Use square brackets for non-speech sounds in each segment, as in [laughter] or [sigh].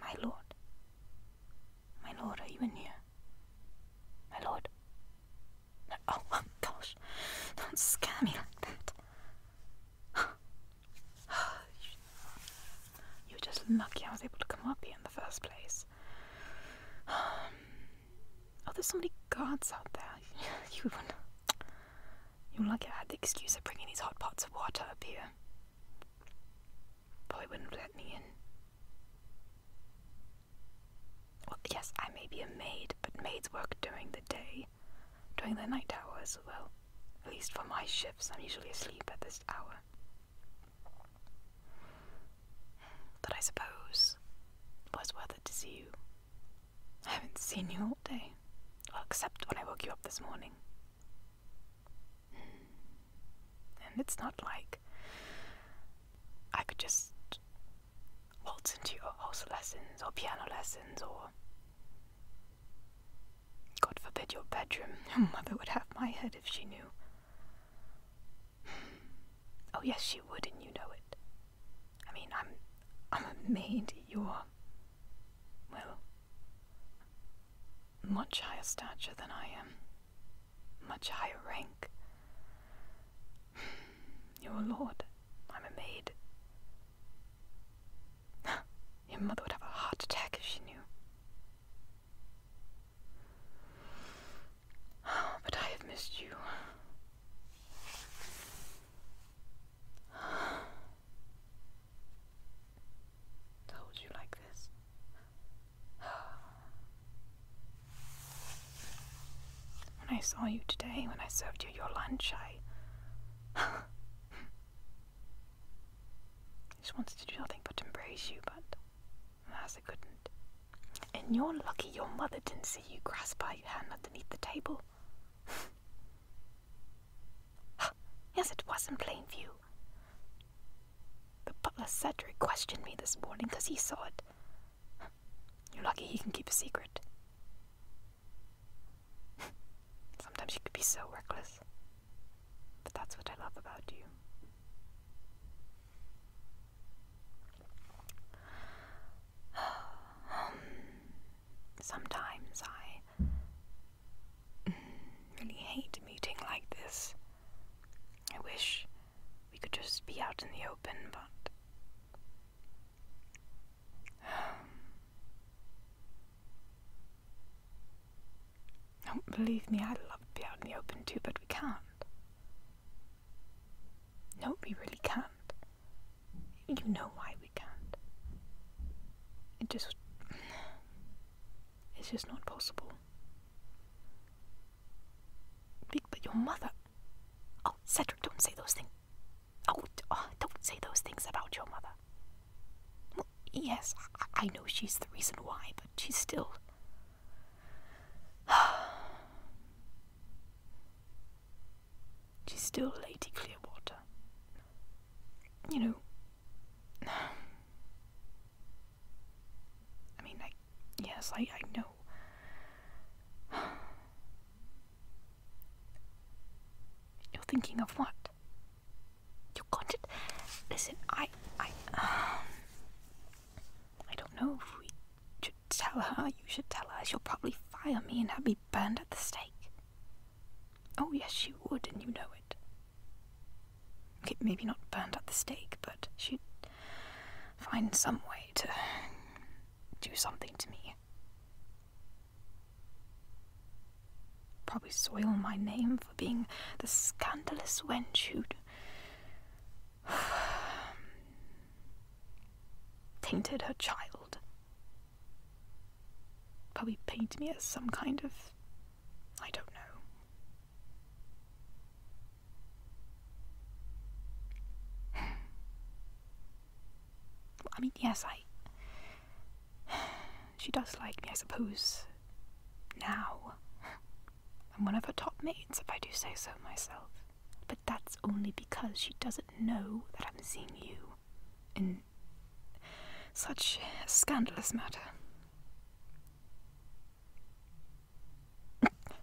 My lord. My lord, are you in here? My lord. oh, gosh. Don't scare me like that. [sighs] You're just lucky I was able to come up here in the first place. Um, Oh, there's so many guards out there. [laughs] you would want You lucky I had the excuse of bringing these hot pots of water up here. Probably wouldn't let me in. Well, yes, I may be a maid, but maids work during the day, during the night hours, well, at least for my shifts, I'm usually asleep at this hour. But I suppose it was worth it to see you. I haven't seen you all day. except when I woke you up this morning. Hmm. And it's not like I could just waltz into your horse lessons or piano lessons or. God forbid your bedroom. [laughs] Your mother would have my head if she knew. Hmm. Oh yes, you would, and you know it. I mean, I'm, I'm a maid. You're, well, much higher stature than I am, much higher rank. Your lord. I'm a maid. [gasps] Your mother would have a heart attack if she knew. [sighs] But I have missed you. [sighs] to you like this. [sighs] when I saw you today, when I served you your lunch, I. [sighs] just wanted to do nothing but embrace you, but alas, I couldn't. And you're lucky your mother didn't see you grasp her hand underneath the table. [laughs] yes, it was in plain view. The butler Cedric questioned me this morning because he saw it. You're lucky he can keep a secret. [laughs] Sometimes you could be so reckless. But that's what I love about you. [sighs] Sometimes I mm, really hate meeting like this. I wish we could just be out in the open, but. don't [sighs] oh, believe me, i love to be out in the open too, but we can't. No, we really can't. You know why we can't. It just. It's just not possible. But your mother. Oh, Cedric, don't say those things. Oh, don't say those things about your mother. yes, I know she's the reason why, but she's still. She's still Lady Clearwater. You know, [sighs] I mean, I, yes, I, I know. [sighs] You're thinking of what? You got it? Listen, I, I, um, [sighs] I don't know if we you should tell her, you should tell her. She'll probably fire me and have me burned at the stake. Oh, yes, she would, and you know it. Okay, maybe not burned at the stake, but she'd find some way to do something to me. Probably soil my name for being the scandalous wench who'd [sighs] Tainted her child. Probably paint me as some kind of. I don't know. [sighs] I mean, yes, I. [sighs] She does like me, I suppose. Now. I'm one of her top mates, if I do say so myself that's only because she doesn't know that I'm seeing you in such a scandalous matter.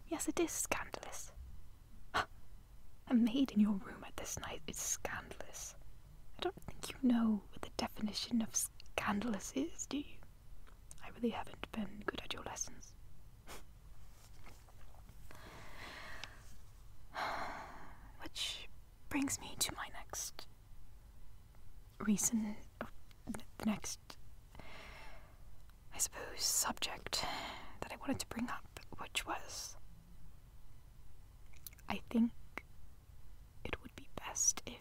yes, it is scandalous. [gasps] a maid in your room at this night is scandalous. I don't think you know what the definition of scandalous is, do you? I really haven't been good at your lessons. [laughs] [sighs] Which brings me to my next reason, next, I suppose, subject that I wanted to bring up, which was I think it would be best if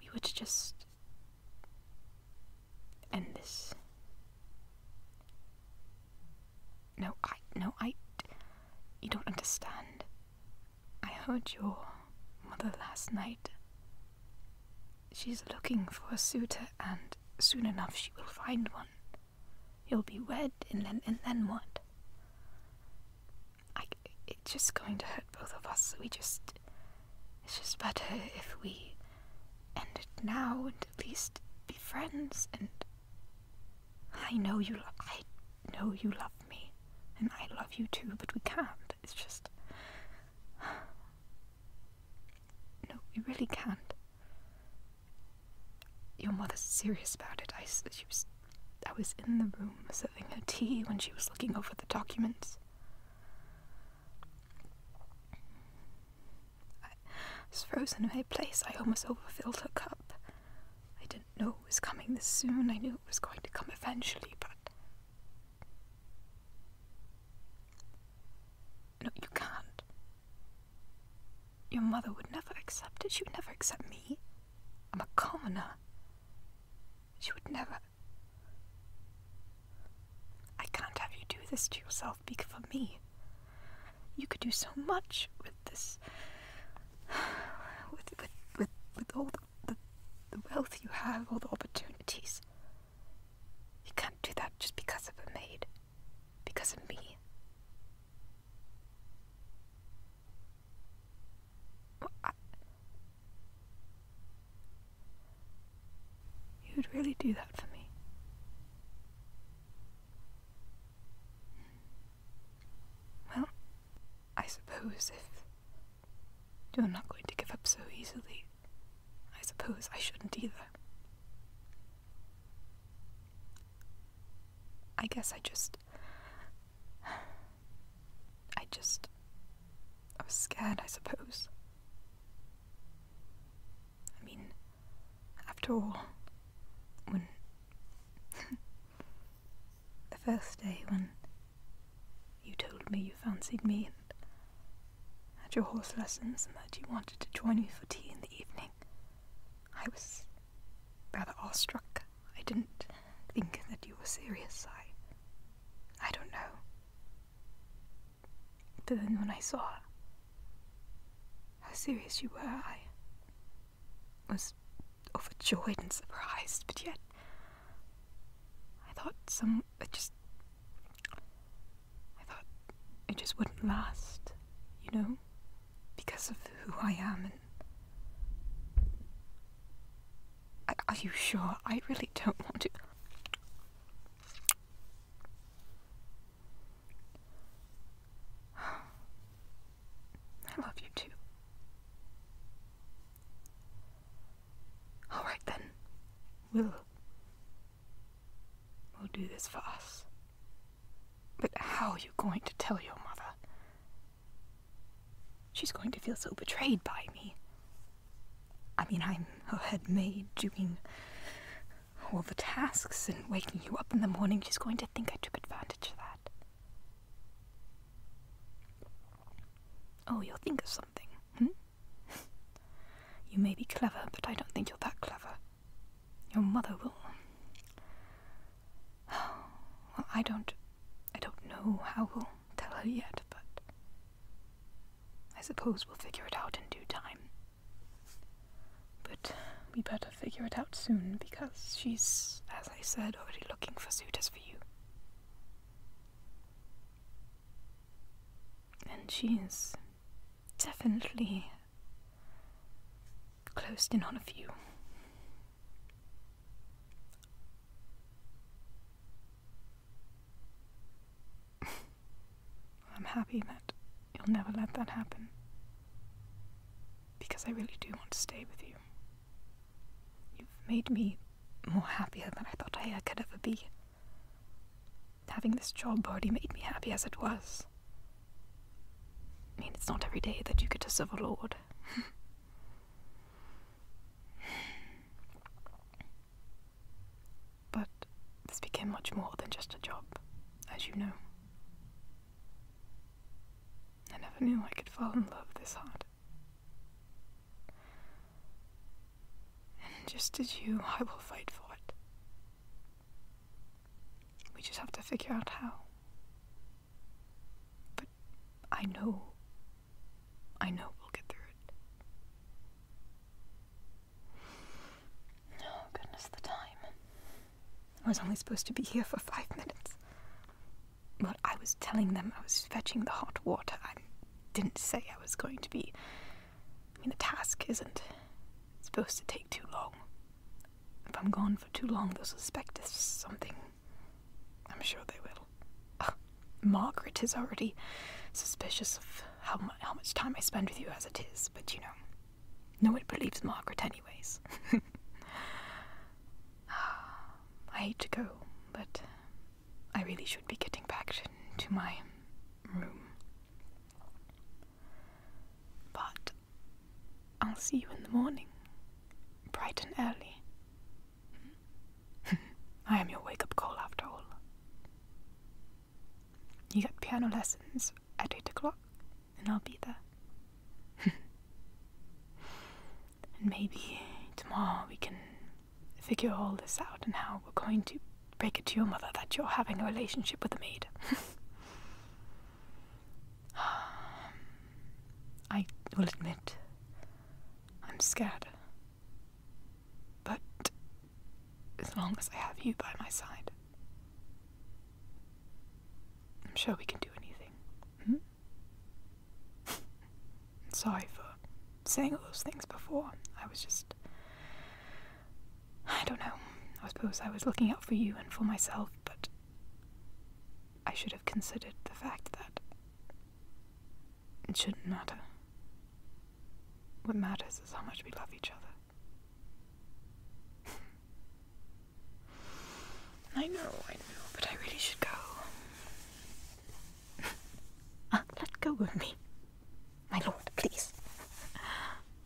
we were to just end this no, I. No, I. You don't understand. I heard your mother last night. She's looking for a suitor, and soon enough she will find one. You'll be wed, and then, and then what? it's just going to hurt both of us, so we just. It's just better if we end it now and at least be friends and I know you lo- I know you love me and I love you too, but we can't. It's just [sighs] No, we really can't. Your mother's serious about it. I she was I was in the room serving her tea when she was looking over the documents. I was frozen in my place. I almost overfilled her cup. I didn't know it was coming this soon. I knew it was going to come eventually, but. No, you can't. Your mother would never accept it. She would never accept me. I'm a commoner. She would never. I can't have you do this to yourself because of me. You could do so much with this, [sighs] with with with, with all the, the, wealth you have, all the opportunities. You can't do that just because of a maid, because of me. You would really do that for me. Well, I suppose if you're not going to give up so easily, I suppose I shouldn't either. I guess I just. I just. I was scared, I suppose. I mean, after all, when. [laughs] the first day when you told me you fancied me and had your horse lessons and that you wanted to join me for tea in the evening, I was rather awestruck. I didn't think that you were serious. I. I don't know. But then when I saw how serious you were, I was overjoyed and surprised, but yet I thought some it just I thought it just wouldn't last, you know? Because of who I am and Are you sure? I really don't want to. [sighs] I love you too. All right then. We'll We'll do this for us. But how are you going to tell your mother? She's going to feel so betrayed by me. I mean, I'm her head maid you doing all the tasks and waking you up in the morning, she's going to think I took advantage of that. Oh, you'll think of something, hmm? [laughs] you may be clever, but I don't think you're that clever. Your mother will. [sighs] Well, I don't. I don't know how we'll tell her yet, but. I suppose we'll figure it out in due time. But we better figure it out soon because she's, as I said, already looking for suitors for you. And she is definitely closed in on a few. I'm happy that you'll never let that happen. Because I really do want to stay with you. You've made me more happier than I thought I uh, could ever be. Having this job already made me happy as it was. I mean, it's not every day that you get to serve a lord. But this became much more than just a job, as you know. I never knew I could fall in love this hard. And just as you, I will fight for it. We just have to figure out how. But I know. I know we'll get through it. Oh, goodness, the time. I was only supposed to be here for five minutes. But I was telling them I was fetching the hot water. I didn't say I was going to be. I mean, the task isn't supposed to take too long. If I'm gone for too long, they'll suspect us something. I'm sure they will. Margaret is already suspicious of how, much time I spend with you as it is, but you know, no one believes Margaret, anyways. [laughs] Ah, I hate to go, but I really should be getting back to my room. But I'll see you in the morning, bright and early. [laughs] I am your wake up call after all. You got piano lessons at 8 o'clock, and I'll be there. [laughs] and maybe tomorrow we can figure all this out and how we're going to break it to your mother that you're having a relationship with a maid. [laughs] [sighs] I will admit, I'm scared. But as long as I have you by my side. I'm sure we can do anything. Hmm? [laughs] sorry for saying all those things before. I was just. I don't know. I suppose I was looking out for you and for myself, but I should have considered the fact that it shouldn't matter. What matters is how much we love each other. I know, I know, but I really should go. [laughs] Uh, let go of me. My lord, please.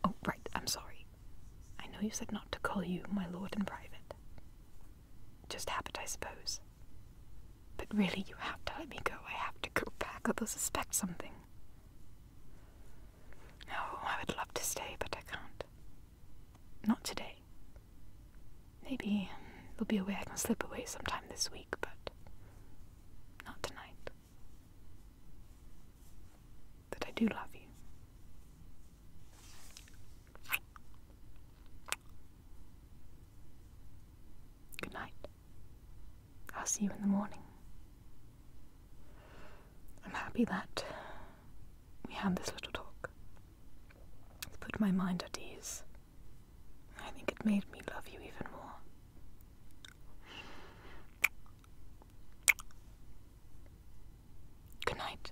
Oh, right, I'm sorry. I know you said not to call you my lord in private. Just habit, I suppose. But really, you have to let me go. I have to go back, or they'll suspect something. Oh, I would love to stay, but I can't. Not today. Maybe um, there'll be a way I can slip away sometime this week, but not tonight. That I do love you. Good night. I'll see you in the morning. I'm happy that we had this little talk. It's put my mind at ease. I think it made me love you even more. Good night.